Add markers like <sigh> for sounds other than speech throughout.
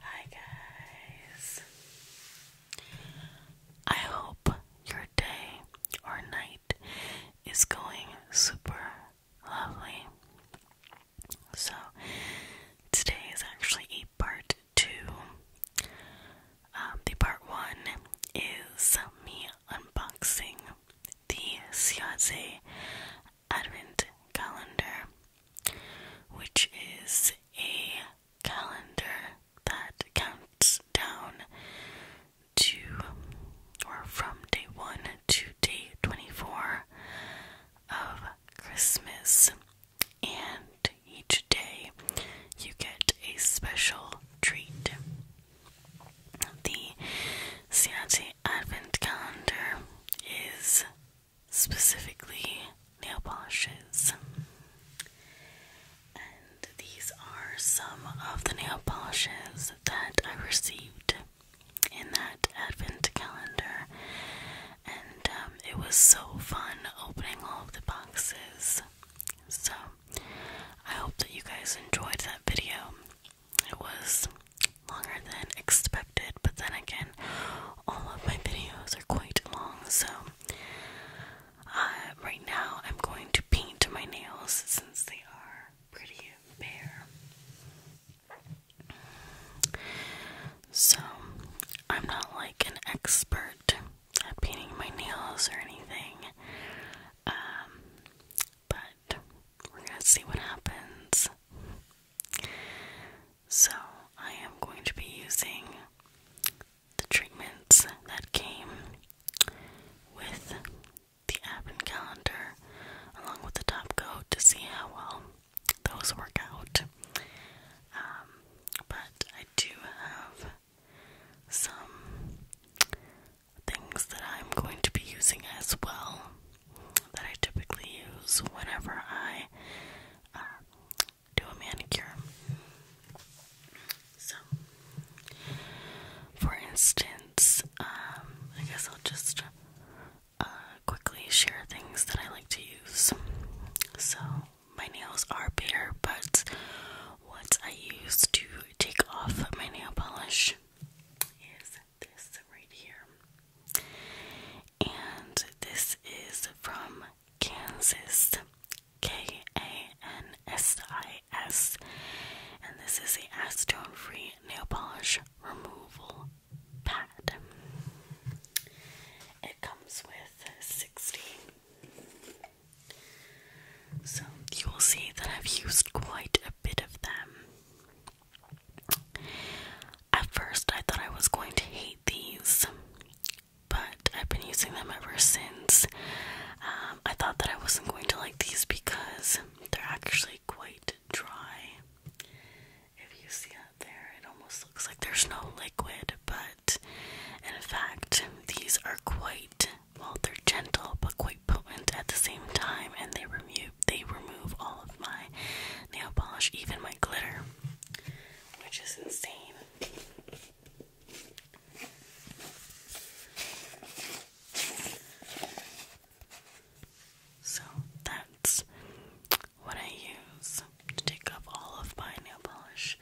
Hi, guys. I hope your day or night is going super lovely. So, today is actually a part two. Um, the part one is me unboxing the Siaze Advent calendar, which is a calendar that counts down to or from day 1 to day 24 of Christmas, and each day you get a special treat. The Ciace Advent Calendar is specifically nail polishes. And these are some of the nail polishes that I received in that advent calendar. And um, it was so fun opening all the boxes. So I hope that you guys enjoyed that video it was longer than expected, but then again, all of my videos are quite long, so uh, right now I'm going to paint my nails since they are pretty bare. So, I'm not like an expert at painting my nails or anything, um, but we're gonna see what happens. So, I am going to be using the treatments that came with the advent calendar along with the top coat to see how well those work out. Um, but I do have some things that I'm going to be using as well that I typically use whenever I uh, do a manicure. So, for instance, um, I guess I'll just uh, quickly share things that I like to use. So, my nails are bare, but what I use to take off my nail polish is this right here. And this is from Kansas, K A N S I S. And this is the acetone free nail polish removal pad. It comes with 60. So you will see that I've used quite a bit of them. At first, I thought I was going to hate these, but I've been using them ever since. Um, I thought that I wasn't going to like these because they're actually quite dry. If you see up there, it almost looks like there's no liquid, but in fact, these are quite well, they're gentle but quite potent at the same time, and they remove they remove all of my nail polish, even my glitter, which is insane. So that's what I use to take off all of my nail polish.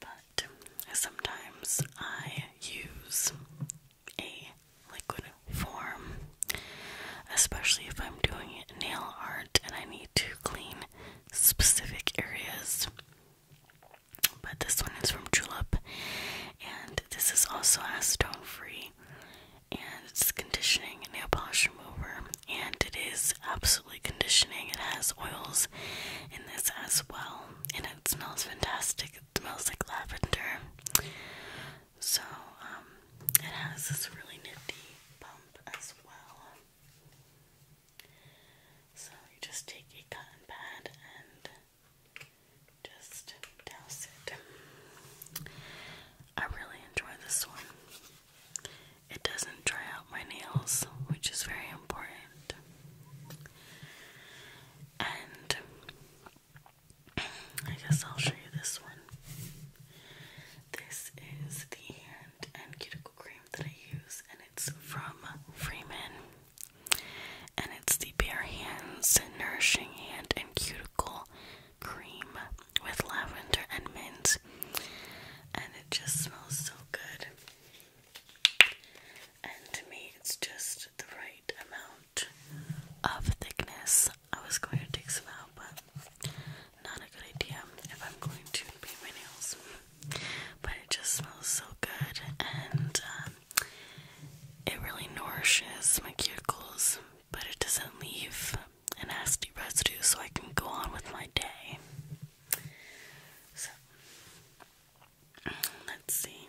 But sometimes I use a liquid form, especially if I'm doing nail art and I need to clean specific areas. But this one is from Julep, and this is also acetone free, and it's conditioning nail polish remover, and it is absolutely conditioning. It has oils in this as well, and it smells fantastic. It smells like lavender. So, um, it has this really nifty bump as well. So, you just take a cotton pad and just douse it. I really enjoy this one. It doesn't dry out my nails, which is very important. And I guess I'll show you this one. This is the hand and cuticle cream that I use, and it's from Freeman. And it's the Bare Hands Nourishing Hand and Cuticle Cream with lavender and mint. And it just smells so good. And to me, it's just the right amount of thickness I was going to take some out, but not a good idea if I'm going to paint my nails. But it just smells so good and um, it really nourishes my cuticles, but it doesn't leave a nasty residue so I can go on with my day. So, let's see.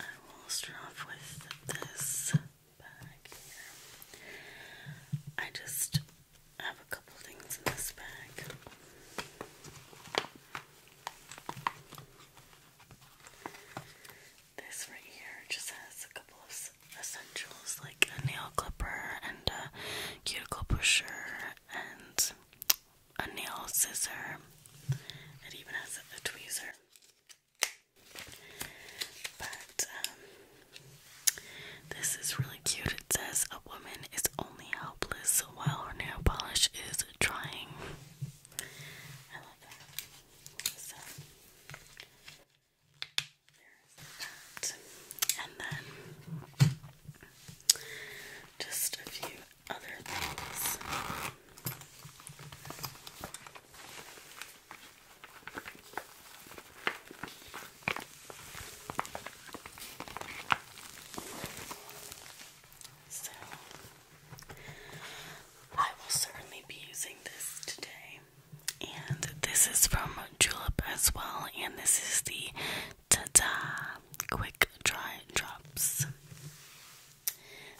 I will start off with this bag here. I just have a couple things in this bag. This right here just has a couple of essentials like a nail clipper and a cuticle pusher and a nail scissor. It even has a tweezer. But um, this is really cute. It says a woman is only helpless while her nail polish is drying. I love that. So there's that. And then just a few so, I will certainly be using this today. And this is from Julep as well, and this is the Ta Quick Dry Drops.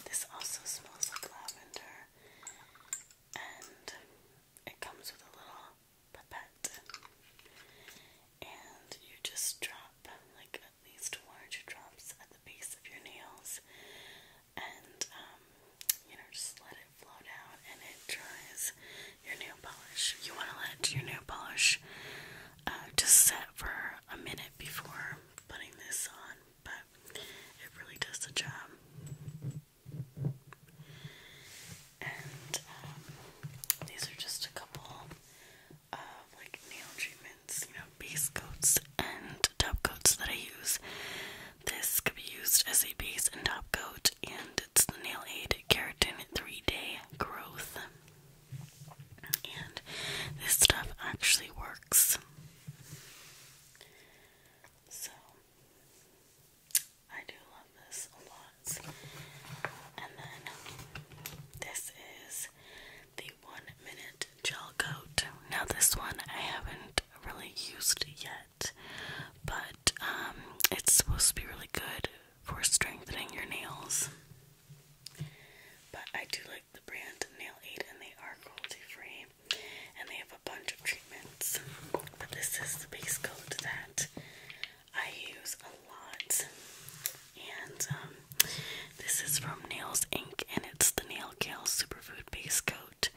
This also smells like lavender and it comes with a little pipette. And you just drop like at least two drops at the base of your nails and um, you know, just let it flow down and it dries your nail polish. You want to let your nail polish uh, just set for a minute before putting this on but it really does the job. And um, these are just a couple of like nail treatments, you know, base coats and top coats that I use. This could be used as a base and top coat, and it's the Nail Aid Keratin 3 Day Growth. And this stuff actually works. So I do love this a lot. And then this is the one minute gel coat. Now this one I haven't really used yet, but um, it's supposed to be really good for strengthening your nails. But I do like the brand Nail Aid, and they are cruelty free, and they have a bunch of treatments. But this is the base coat that I use a lot, and um, this is from Nails Inc. and it's the Nail Kale Superfood Base Coat,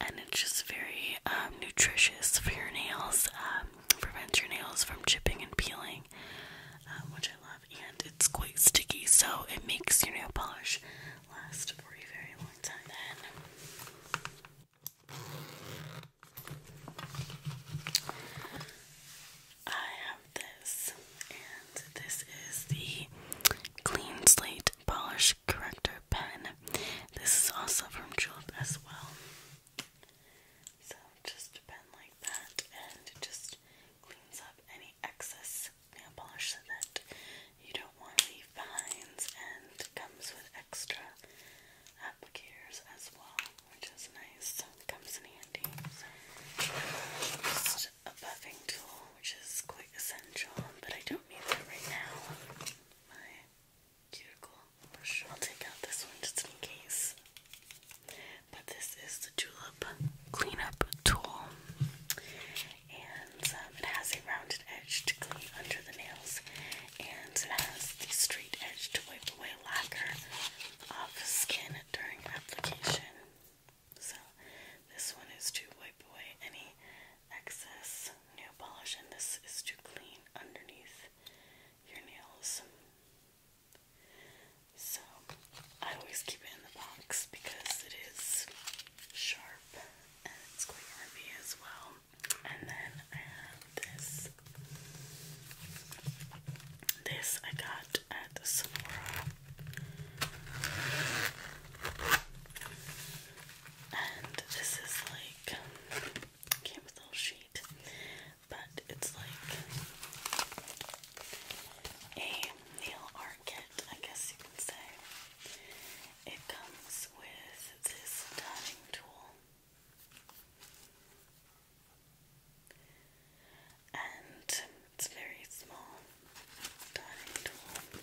and it's just very um, nutritious for your nails, um, prevents your nails from chipping and peeling. Um, which love, and it's quite sticky, so it makes your nail polish last for a very long time. Then I have this, and this is the Clean Slate Polish Corrector Pen. This is also from Julep as well. So just a like that, and it just cleans up any excess nail polish that you don't want to leave behinds and comes with extra applicators as well, which is nice. comes in handy. just a buffing tool, which is quite essential, but I don't need that right now. My cuticle brush. I'll take out this one just in case. But this is the Julep Cleanup Tool and um, it has a rounded edge to clean under the nails, and it has the straight edge to wipe away lacquer off skin during application. So this one is to wipe away any excess nail polish, and this is to clean underneath your nails. So I always keep it in the box because it is sharp and it's quite ruby as well. And then this. This I got at Sephora. And this is like came with a little sheet, but it's like a nail market, I guess you can say. It comes with this dotting tool. And it's very small dotting tool.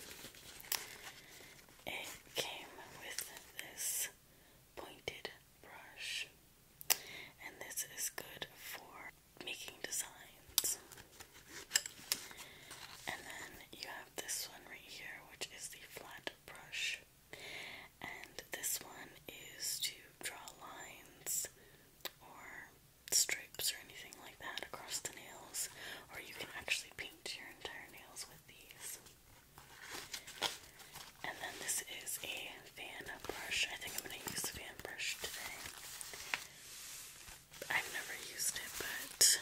It came with this pointed brush, and this is good for making designs. And then you have this one right here, which is the flat brush. And this one is to draw lines or stripes or anything like that across the nails, or you can actually paint your entire nails with these. And then this is a fan brush. I think I'm going to use the fan brush today. I've never used it, but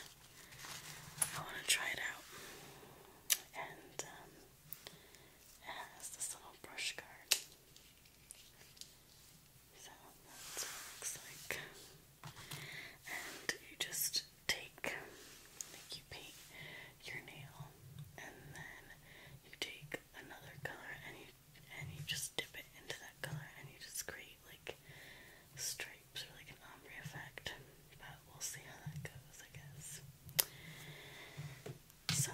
I want to try it out. And um, it has this little brush guard. So that's what it looks like. And you just take, you paint your nail, and then you take another color and you and you just dip it into that color and you just create like stripes or like an ombre effect. But we'll see how that goes, I guess. So,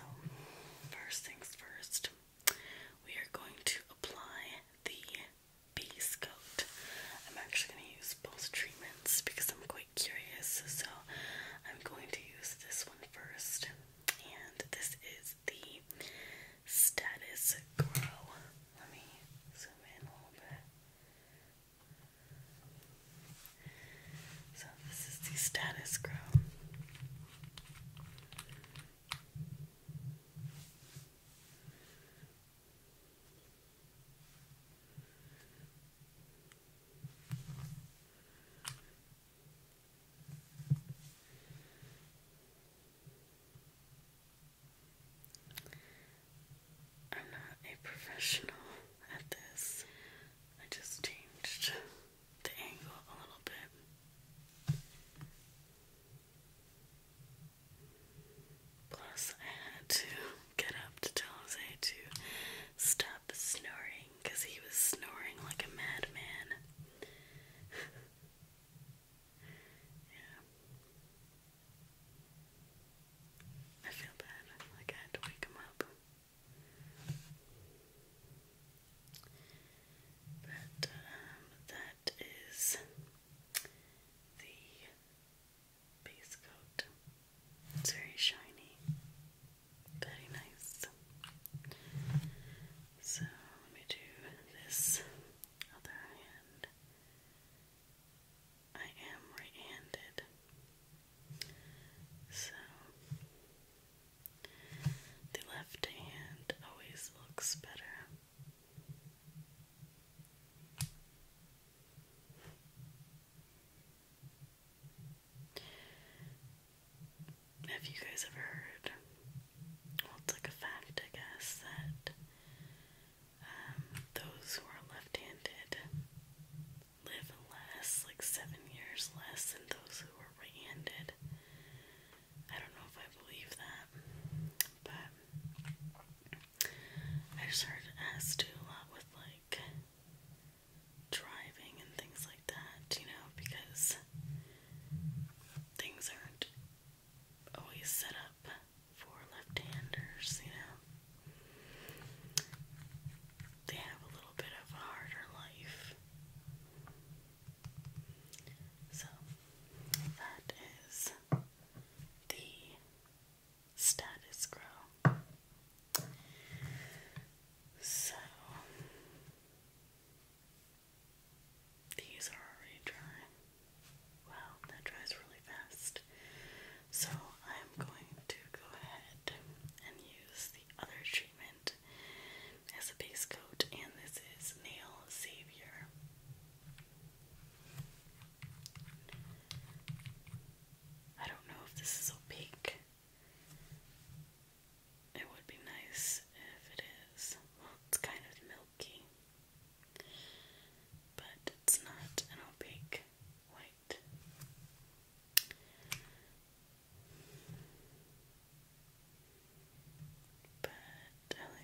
first things first, we are going to apply the base coat. I'm actually going to use both treatments because I'm quite curious, so I'm going to use this one first. And this is the Status Grow. Let me zoom in a little bit. So, this is the Status Grow. I'm not a professional at this. I just changed the angle a little bit. Plus, I had to get up to tell Jose to stop snoring because he was snoring like a madman. <laughs> Yeah. I feel bad, like I had to wake him up. But um, that is the base coat. It's very shiny, very nice. So let me do this other hand. I am right-handed, so the left hand always looks better. Have you guys ever heard well, it's like a fact, I guess, that um, those who are left-handed live less, like seven years less, than those who are right-handed. I don't know if I believe that, but I just heard it has to do a lot with like driving and things like that, you know, because things aren't always set up for left-handers, you know. They have a little bit of a harder life. So, that is the status quo. So, these are already drying. Wow, that dries really fast. So I'm going to go ahead and use the other treatment as a base coat, and this is Nail Savior. I don't know if this is opaque. It would be nice if it is. Well, it's kind of milk but it's not an opaque white. But I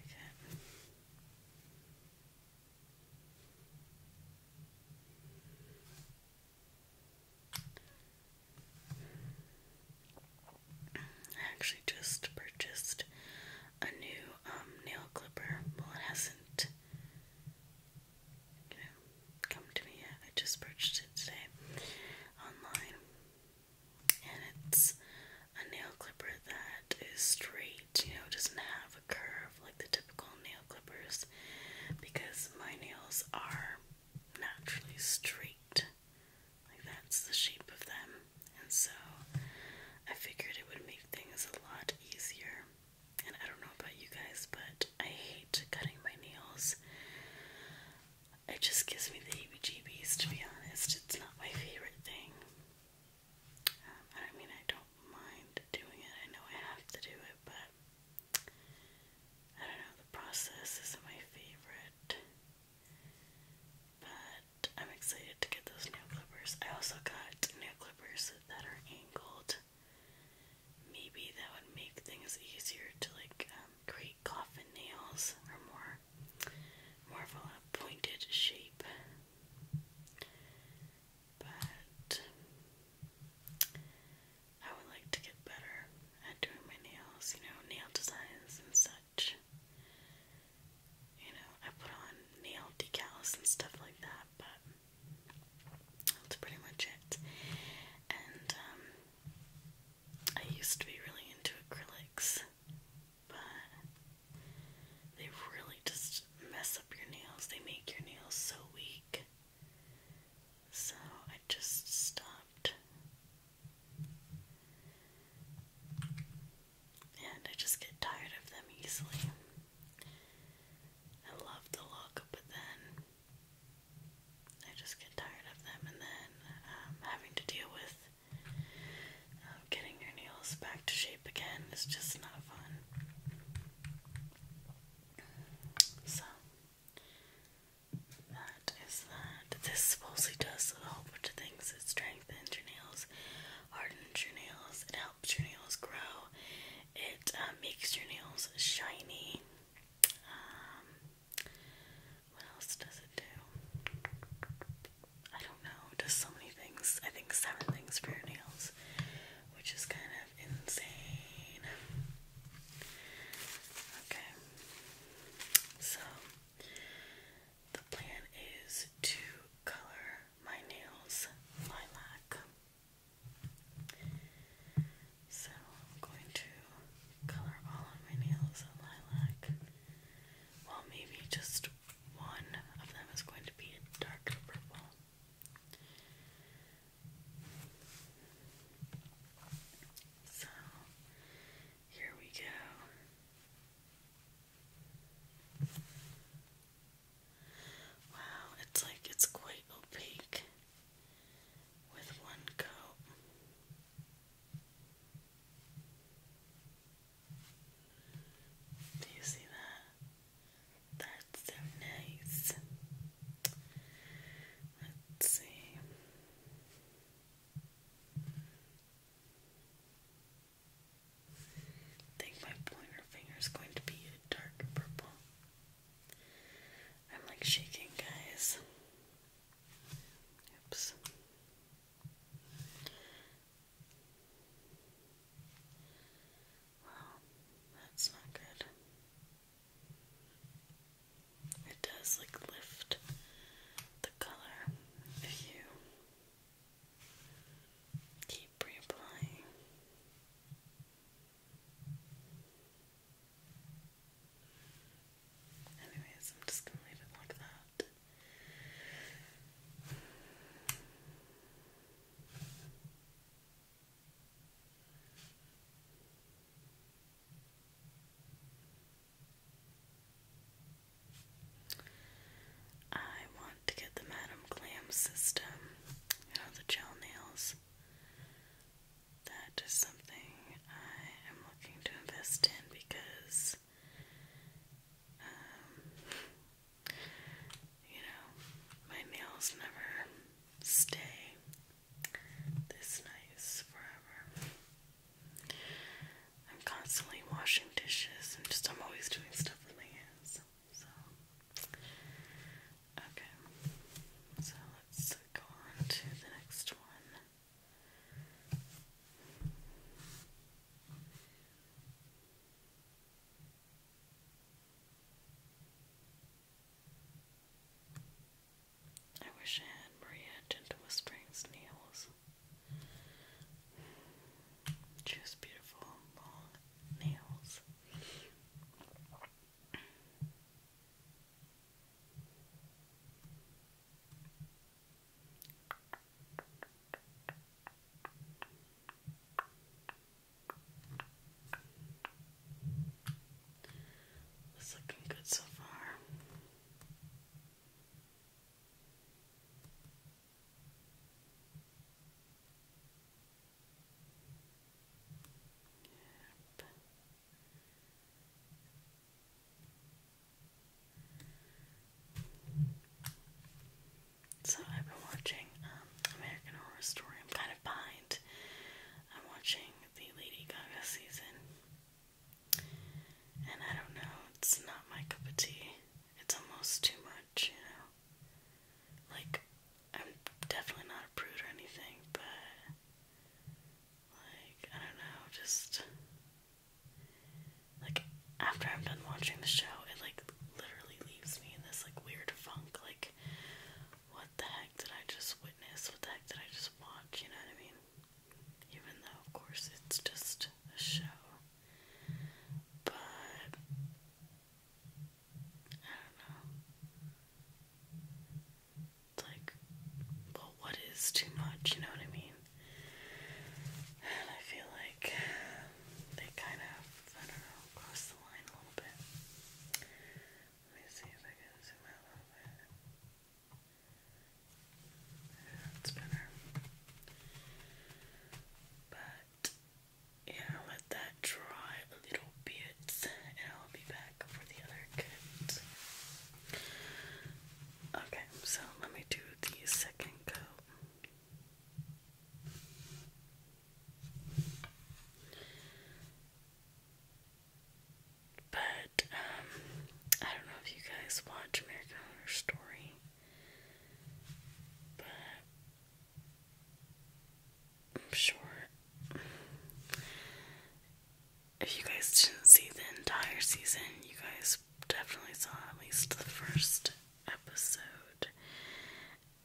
I actually just purchased a new um, nail clipper. Well, it hasn't you know, come to me yet. I just purchased it today online. And it's a nail clipper that is straight, you know, doesn't have a curve like the typical nail clippers because my nails are naturally straight. Like that's the shape of them. And so I figured it would make things a lot easier. And I don't know about you guys, but I hate cutting my nails. It just gives me the heebie jeebies, to be honest. It's not my favorite thing. Um, I mean, I don't mind doing it. I know I have to do it, but I don't know. The process isn't my favorite. But I'm excited to get those nail clippers. I also got nail clippers that are angled. Maybe that would make things easier to like um, create coffin nails or more, more of a pointed shape. But I would like to get better at doing my nails, you know, nail designs and such. You know, I put on nail decals and stuff like that, but that's pretty much it. And um, I used to be really into acrylics, but they really just mess up your nails. They make your nails so weak. So I just stopped. And I just get tired of them easily. I love the look, but then I just get tired of them, and then um, having to deal with um, getting your nails back to shape again is just not fun. So, that is that. This supposedly does a whole bunch of things. It's trying strengthens your nails, hardens your nails, it helps your nails grow, it um, makes your nails shiny. Um, what else does it do? I don't know, does so many things. I think seven things for your nails, which is kind of insane. Okay, so the plan is to color my nails lilac. So I'm going to color all of my nails lilac. Well, maybe just one of them is going to be a darker purple. So here we go. Wow, it's like it's quite opaque with one coat. Do you see that? That's so nice. Let's see. I think my pointer finger is going to be dark purple. I'm like shaking, guys. Oops. Wow, that's not good. It does like lift the color if Keep reapplying. Anyways, I'm just gonna leave it like that. I want to get the Madame Glam system, you know, the gel nails. That is something I am looking to invest in because, um, you know, my nails never stay this nice forever. I'm constantly washing dishes and just I'm always doing stuff with my hands. So okay. So let's go on to the next one. I wish I had Maria Gentle Whispering's nails. Just beautiful long nails. It's looking good so far. Yep. So I've been watching um, American Horror Story. I'm kind of behind. I'm watching the Lady Gaga season. And I don't know, it's not my cup of tea. It's almost too much, you know. Like, I'm definitely not a prude or anything, but like, I don't know, just like after I'm done watching the show, it like literally leaves me in this like weird funk, like what the heck did I just witness? What the heck did I just watch? You know what I mean? even though, of course, it's just a show. But I don't know. It's like, well, what is too much? You know what I mean? And I feel like they kind of, I don't know, cross the line a little bit. Let me see if I can zoom out little that's better. But yeah, let that dry a little bit and I'll be back for the other coat. Okay, so let me do the second coat. But um, I don't know if you guys watch American Horror Story. I'm sure if you guys didn't see the entire season, you guys definitely saw at least the first episode.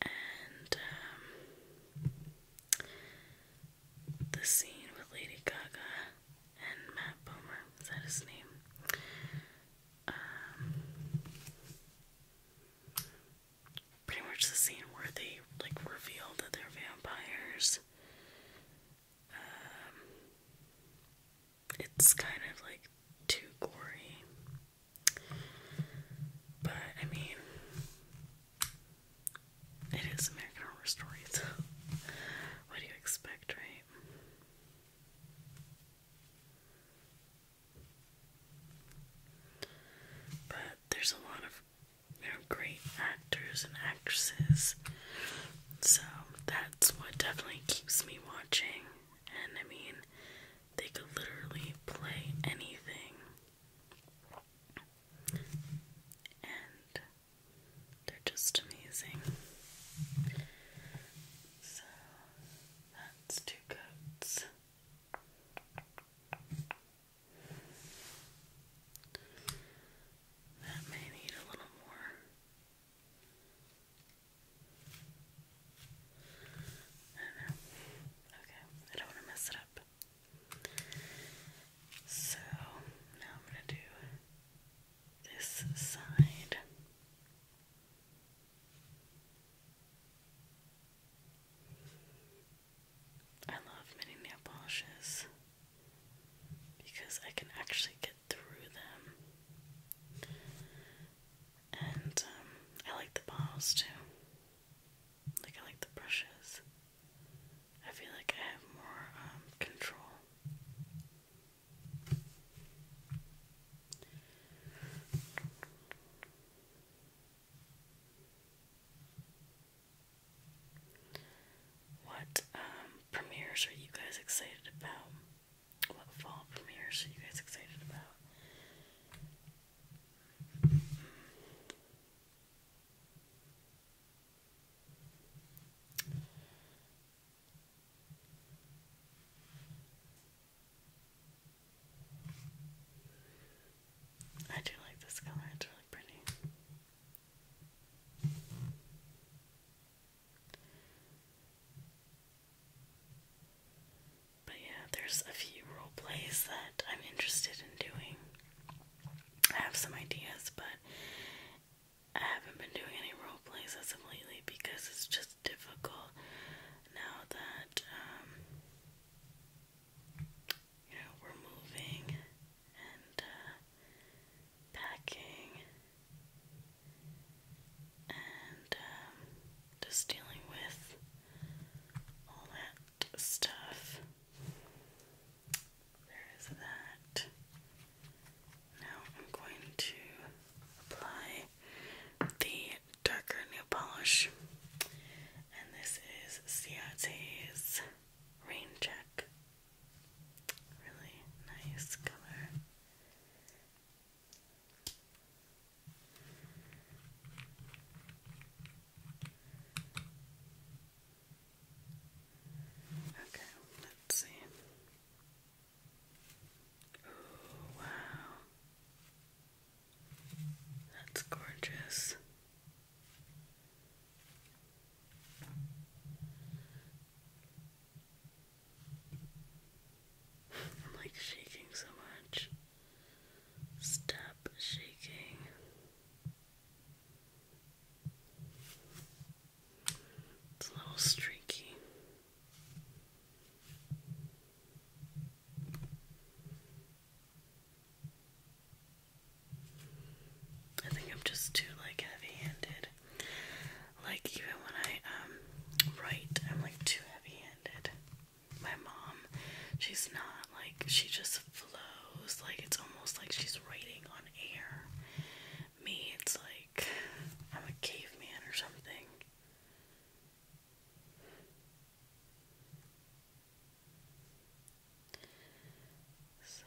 And um, the scene with Lady Gaga and Matt Bomer, is that his name? Um, pretty much the scene where they like reveal that they're vampires. Um, it's kind of like too gory, but I mean, it is American Horror Story, <laughs> what do you expect, right? But there's a lot of great actors and actresses, so that's what definitely keeps me watching. And I mean, they could literally play anything. They're just amazing. So that's two coats. That may need a little more. I know. Okay, I don't want to mess it up. So now I'm going to do this side. I love many nail polishes because I can actually get through them. And um, I like the balls too. Like, I like the brushes. I feel like I have more um, control what um, premieres are you guys excited about? What fall premieres are you guys excited about? I do like this color, it's really pretty. But yeah, there's a few role plays that I'm interested in doing. I have some ideas, but I haven't been doing any role plays as of lately because it's just difficult now that um, you know we're moving and uh, packing and um, just dealing with all that stuff. There is that. Now I'm going to apply the darker nail polish, and this is Ciate's Rain Check. Really nice color. Okay, let's see wow. That's gorgeous. I'm like shaking so much. Stop shaking. It's a little streaky. I think I'm just too like heavy-handed. Like even when I um write, I'm like too heavy-handed. My mom, she's not like she just flows. Like it's almost like she's writing on air. Me, it's like I'm a caveman or something. So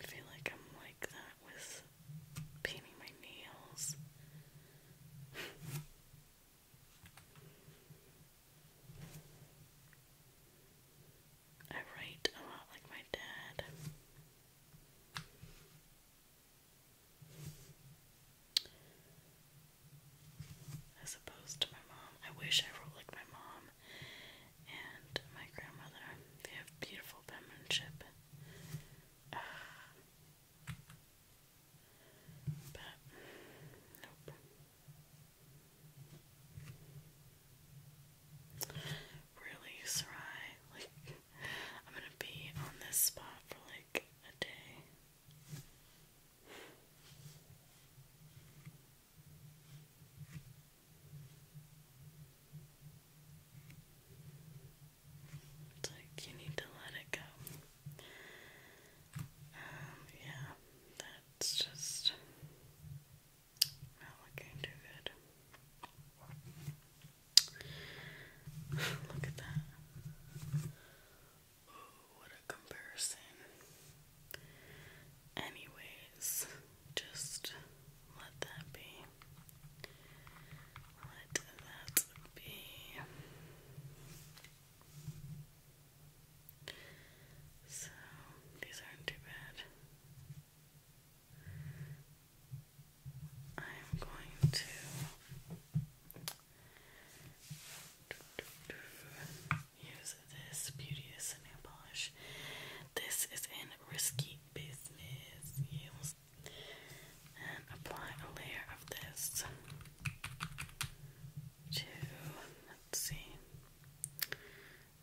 I feel like I'm like that with painting my nails. I write a lot like my dad. As opposed to my mom. I wish I wrote like my mom and my grandmother. They have beautiful penmanship. <sighs> but, nope. Really, Sarai? Like, I'm gonna be on this spot for like a day. like you need to let it go. Um, yeah, that's just not looking too good. Look at that. what a comparison. Anyways, just let that be. Let that be. So, these aren't too bad. I'm going to use this beauty nail polish. This is in risky business. And apply a layer of this to let's see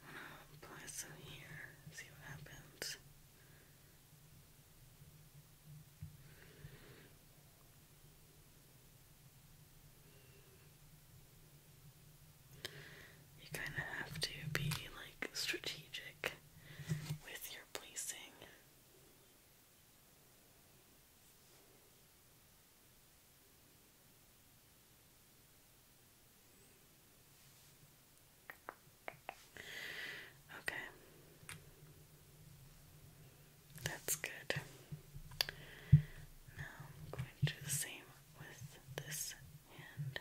I'm going apply some here, see what happens. You kind of have to be like strategic with your placing. Okay. That's good. Now I'm going to do the same with this hand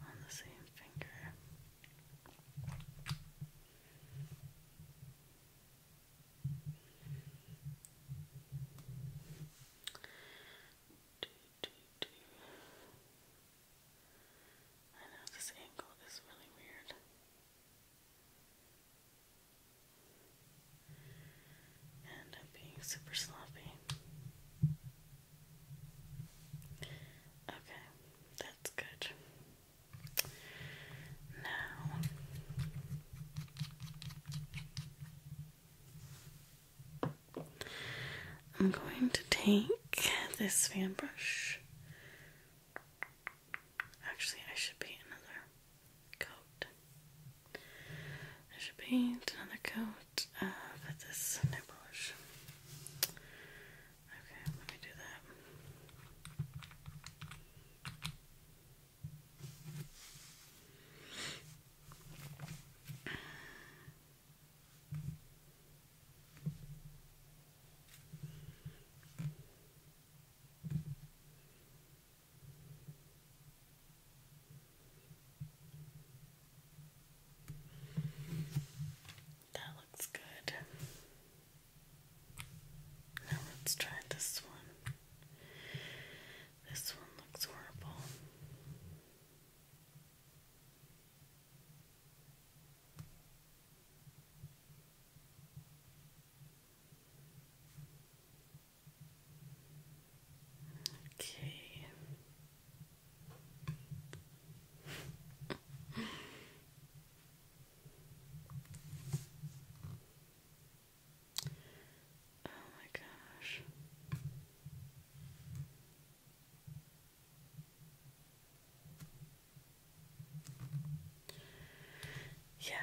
on the same finger. Do I know this angle is really weird. And I'm being super sloppy. Okay, that's good. Now, I'm going to take this fan brush. Actually, I should be another coat. I should paint another coat with uh, this new brush. Okay, let me do that. That looks good. Now let's try this one. This one looks horrible. Okay. oh my gosh. Yeah,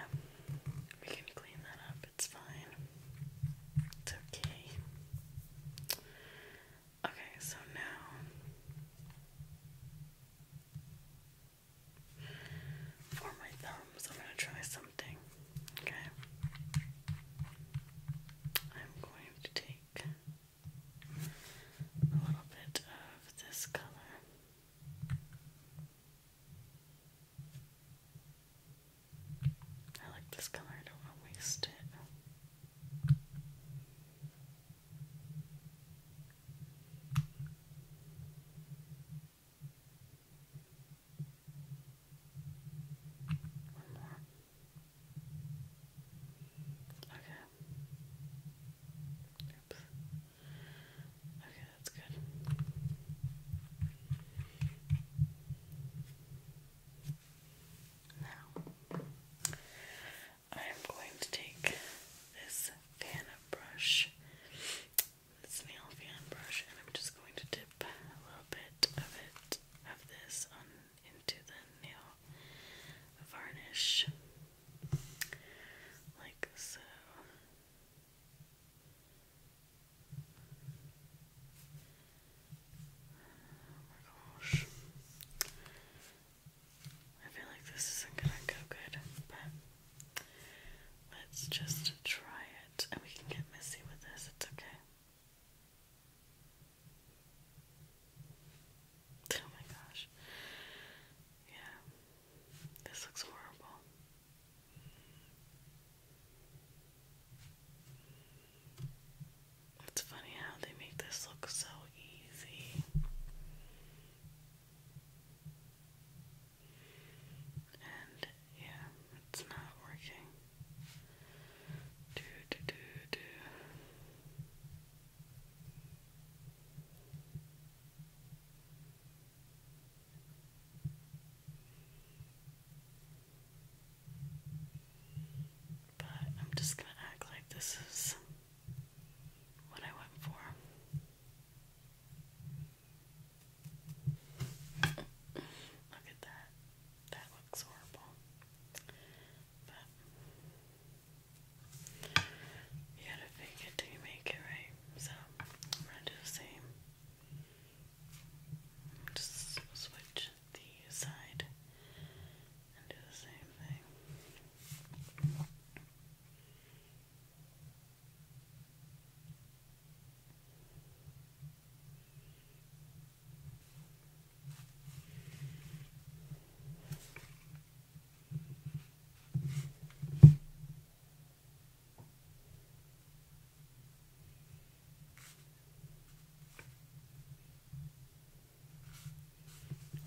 we can clean that up, it's fine. It's okay. Okay, so now for my thumbs, I'm going to try something. Okay? I'm going to take take a little bit of this color. I like this color, I don't want to waste it. Okay. Oops. Okay, that's good. Now, I am going to take this fan brush, this nail fan brush, and I'm just going to dip a little bit of it, of this, on into the nail varnish, like so. Oh my gosh. I feel like this isn't gonna go good, but let's just try it and we can get messy with this, it's okay. Oh my gosh. Yeah. This looks horrible. It's funny how they make this look so easy. And yeah, it's not working. But I'm just going to act like this is what I went for. Look at that. That looks horrible. But you gotta fake it till you make it, right? So I'm gonna do the same. Just switch the side and do the same thing.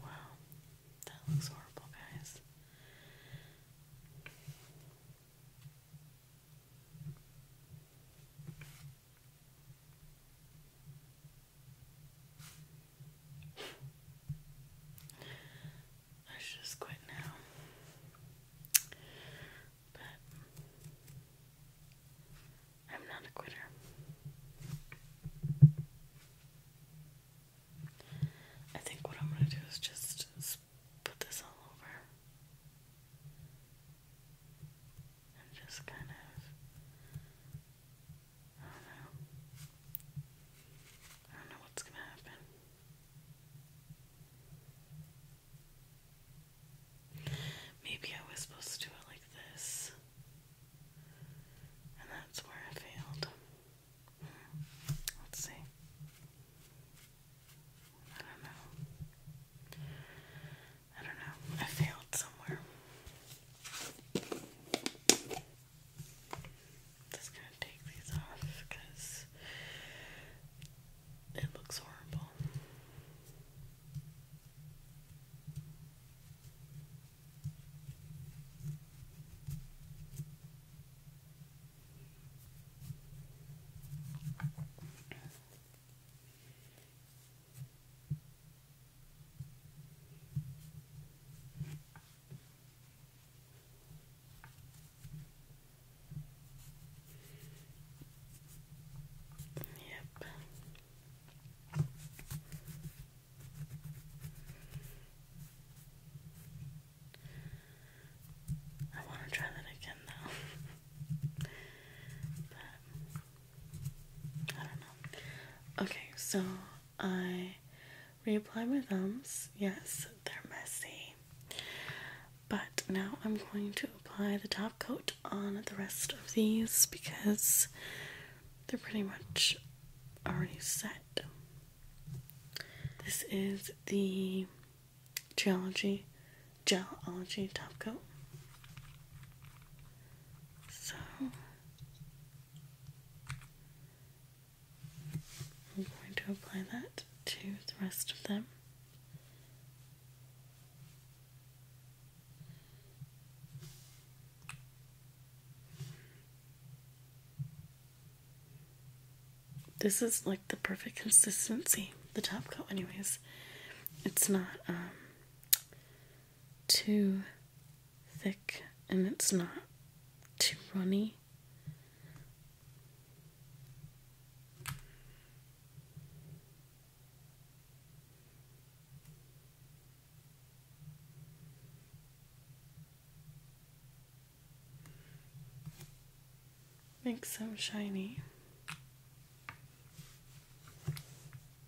Wow, that looks horrible, guys. I should just quit now. But I'm not a quitter. I think what I'm going to do is just put this all over just kind of, I don't know, I don't know what's gonna happen. Maybe I was supposed to do it like this, and that's where I failed. Hmm. Let's see. I don't know. I don't know. I failed somewhere. just gonna take these off because it looks horrible. Yep. I want to try that again though. <laughs> but I don't know. Okay, so I reapply my thumbs. Yes, they're messy. But now I'm going to apply the top coat on the rest of these because they're pretty much already set. This is the Geology gel OG top coat. So I'm going to apply that to the rest of them. This is like the perfect consistency, the top coat anyways. It's not um too thick and it's not too runny. Makes them shiny.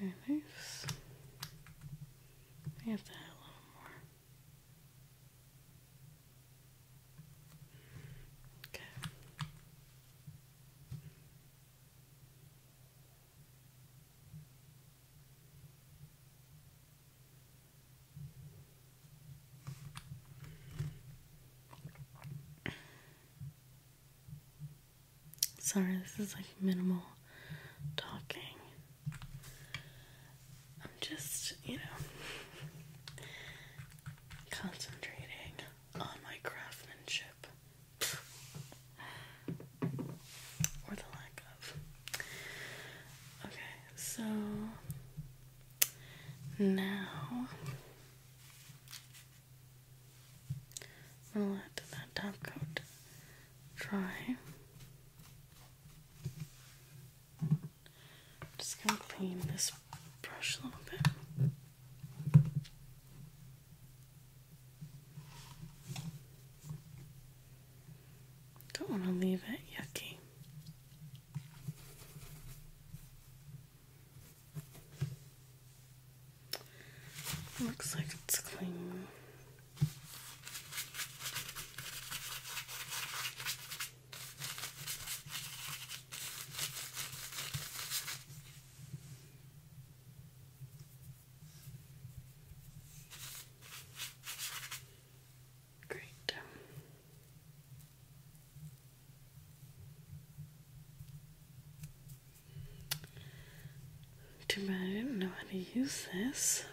Very nice. I have to add a little more. Okay. Sorry, this is like minimal talking. I'm just, you know, concentrating on my craftsmanship. or the lack of. Okay, so now I'm let that top coat dry. just gonna clean this brush a little bit. Don't want to leave it yucky. Looks like it's clean. Great. Too bad I didn't know how to use this.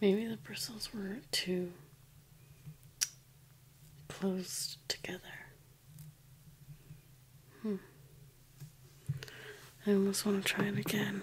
Maybe the bristles were too close together. Hmm. I almost want to try it again.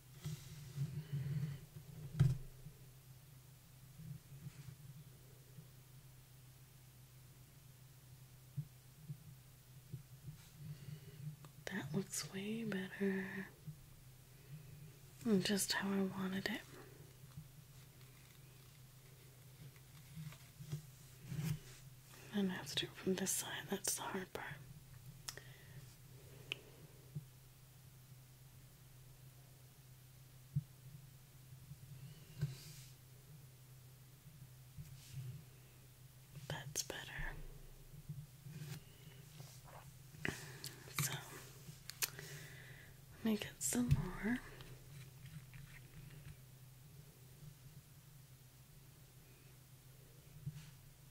That looks way better. And just how I wanted it. And I have to do it from this side, that's the hard part. That's better. So let me get some more.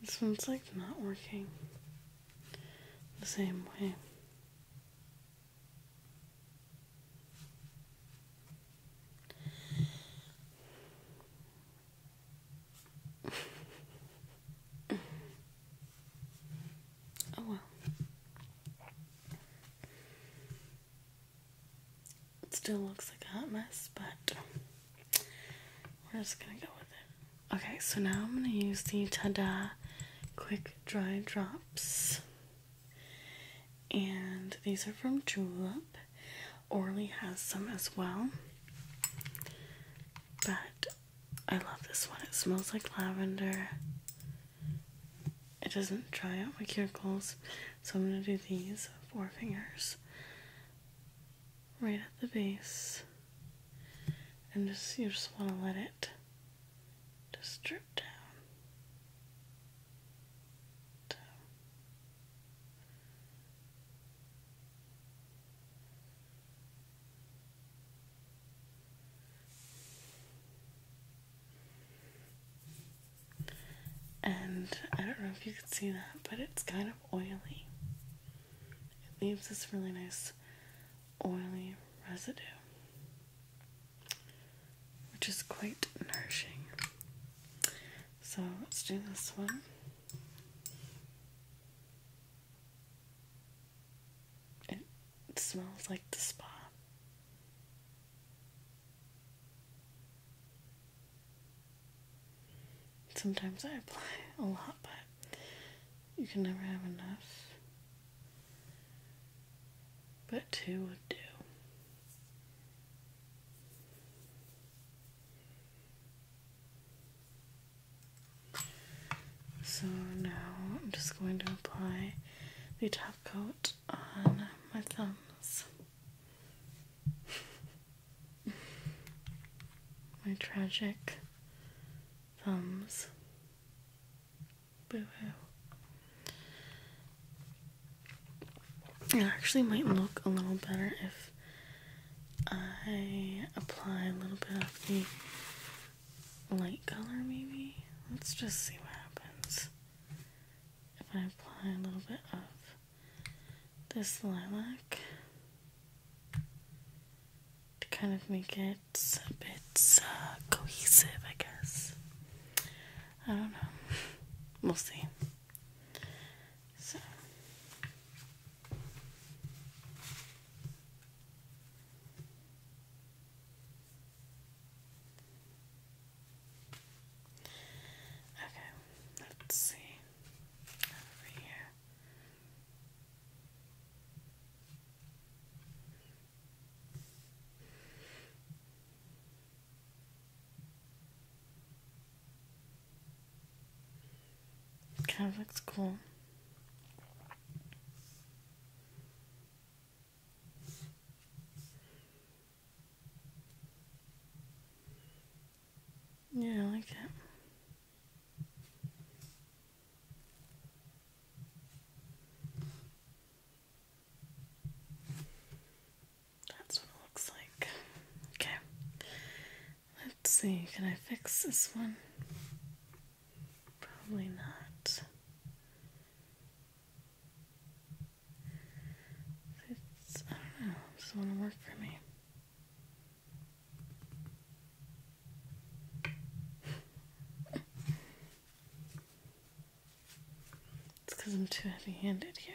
This one's like not working the same way. Oh well. It still looks like a hot mess, but we're just gonna go with it. Okay, so now I'm gonna use the Tada Quick Dry Drops. And these are from Julep. Orly has some as well. But I love this one. It smells like lavender. It doesn't dry out my cuticles, so I'm going to do these four fingers right at the base. And just you just want to let it just drip down. down. And I don't know if you can see that, but it's kind of oily. It leaves this really nice oily residue, which is quite nourishing. So let's do this one. It smells like the spa. Sometimes I apply a lot, but you can never have enough. But two would do. So now I'm just going to apply the top coat on my thumbs. <laughs> my tragic thumbs. Boo hoo. It actually might look a little better if I apply a little bit of the light color maybe? Let's just see what happens. If I apply a little bit of this lilac to kind of make it a bit uh, cohesive, I guess. I don't know. <laughs> We'll see. So. Okay, let's see over here. Kind of looks cool. Yeah, I like that. That's what it looks like. Okay. Let's see, can I fix this one? Probably not. It's, I don't know, doesn't want to work for me. it's because I'm too heavy handed here.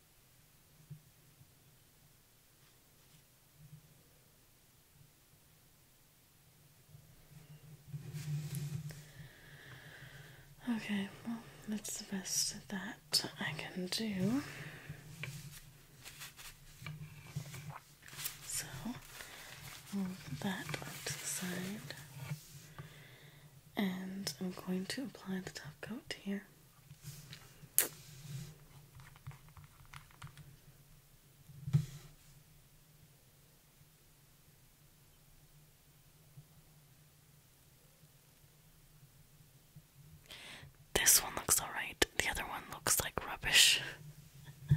Okay, well, that's the best that I can do. So, move that to the side and I'm going to apply the top coat here. This one looks alright, the other one looks like rubbish. <laughs> oh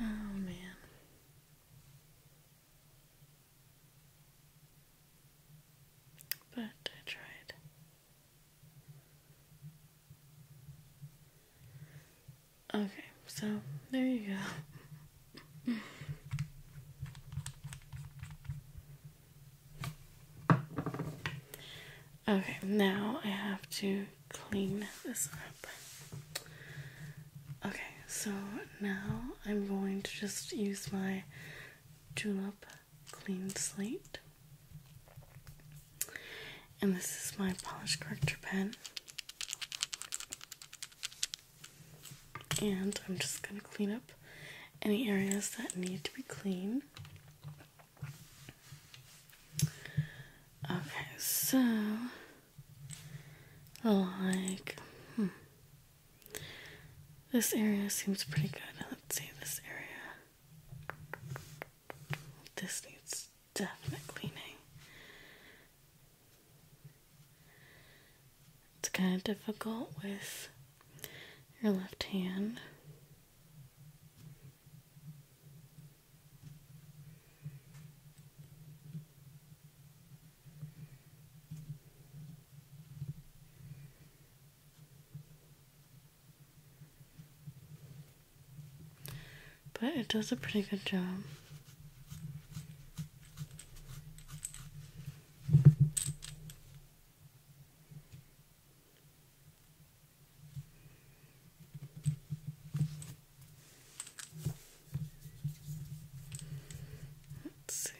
man. But I tried. Okay, so there you go. Okay, now I have to clean this up. Okay, so now I'm going to just use my Julep Clean Slate. And this is my polish corrector pen. And I'm just going to clean up any areas that need to be clean. Okay, so like hmm. This area seems pretty good. Let's see this area. This needs definite cleaning. It's kind of difficult with your left hand. But it does a pretty good job. Let's see.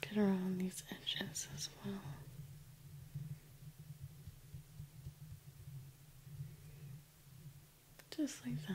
Get around these edges as well. Just like that.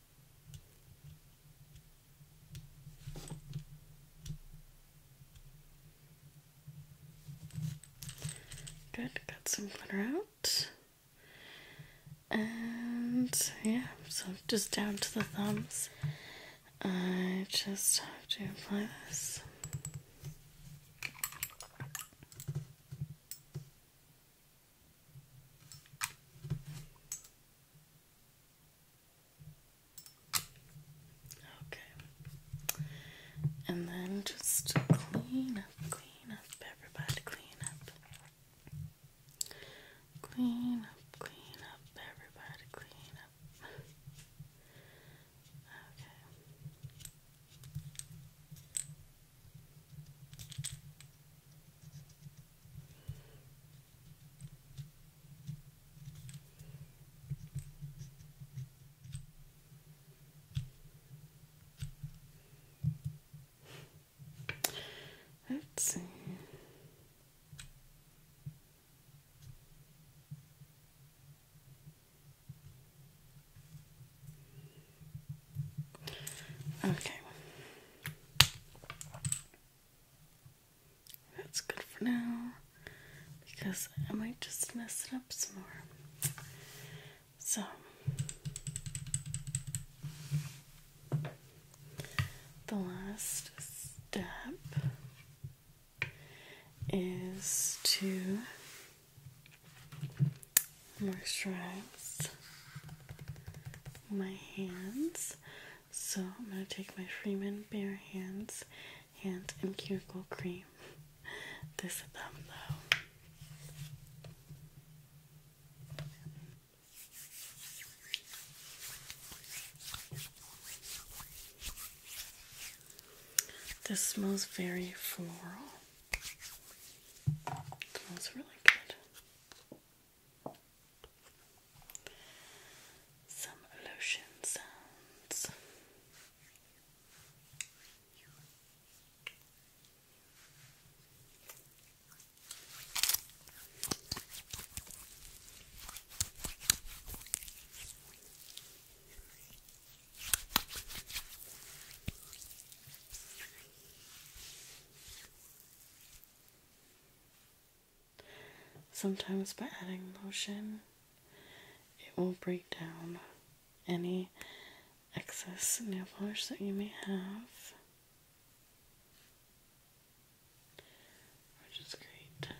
Good, got some glitter out. And yeah, so just down to the thumbs. I just have to apply this. Okay. And then just clean up, clean up, everybody, clean up. Clean up, clean up, everybody, clean up. Okay. Let's see. Okay. That's good for now because I might just mess it up some more. So, the last step is to moisturize my hands. So I'm going to take my Freeman Bare Hands Hand and Cuticle Cream. <laughs> This thumb though. This smells very floral. It smells really good. Some lotion sounds. Sometimes by adding motion, it will break down any excess nail polish that you may have, which is great.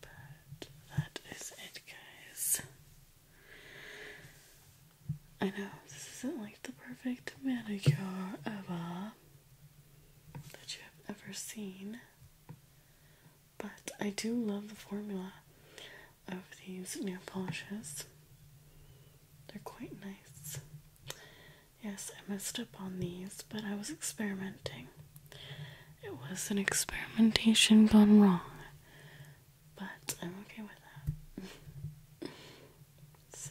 But that is it, guys. I know this isn't like the perfect manicure ever that you have ever seen, but I do love the formula of these nail polishes. They're quite nice. Yes, I messed up on these, but I was experimenting. It was an experimentation gone wrong but I'm okay with that. <laughs> so,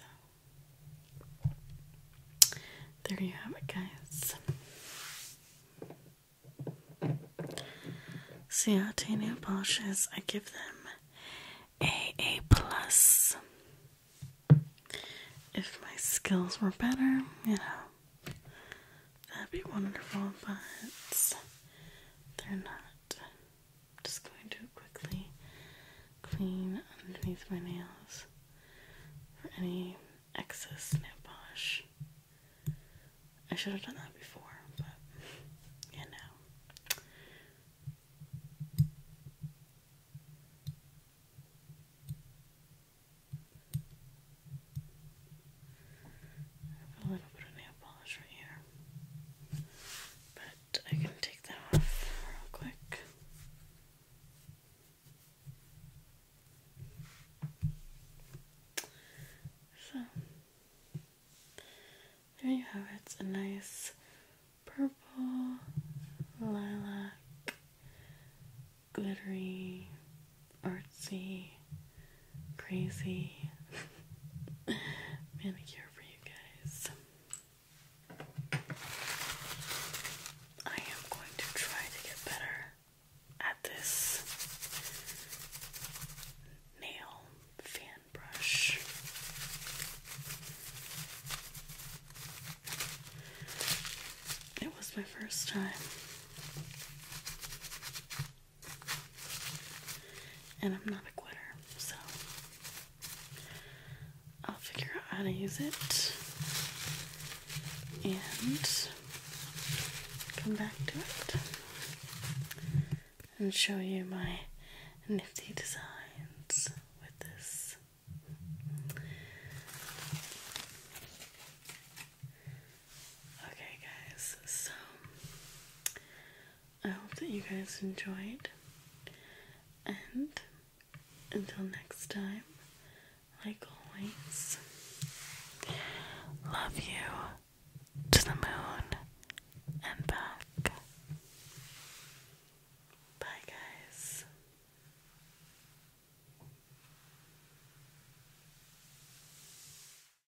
there you have it, guys. Ciate nail polishes, I give them a A plus. If my skills were better, you know, That'd be wonderful, but they're not. just going to quickly clean underneath my nails for any excess nail polish. I should have done that before, but you know a little bit of nail polish right here, but I can take that off real quick. So, there you have it. It's a nice purple, lilac, glittery, artsy crazy <laughs> manicure for you guys. I am going to try to get better at this nail fan brush. It was my first time and I'm not a quitter, so I'll figure out how to use it and come back to it and show you my nifty designs with this. Okay, guys, so I hope that you guys enjoyed. And until next time, like always, love you to the moon and back. Bye, guys.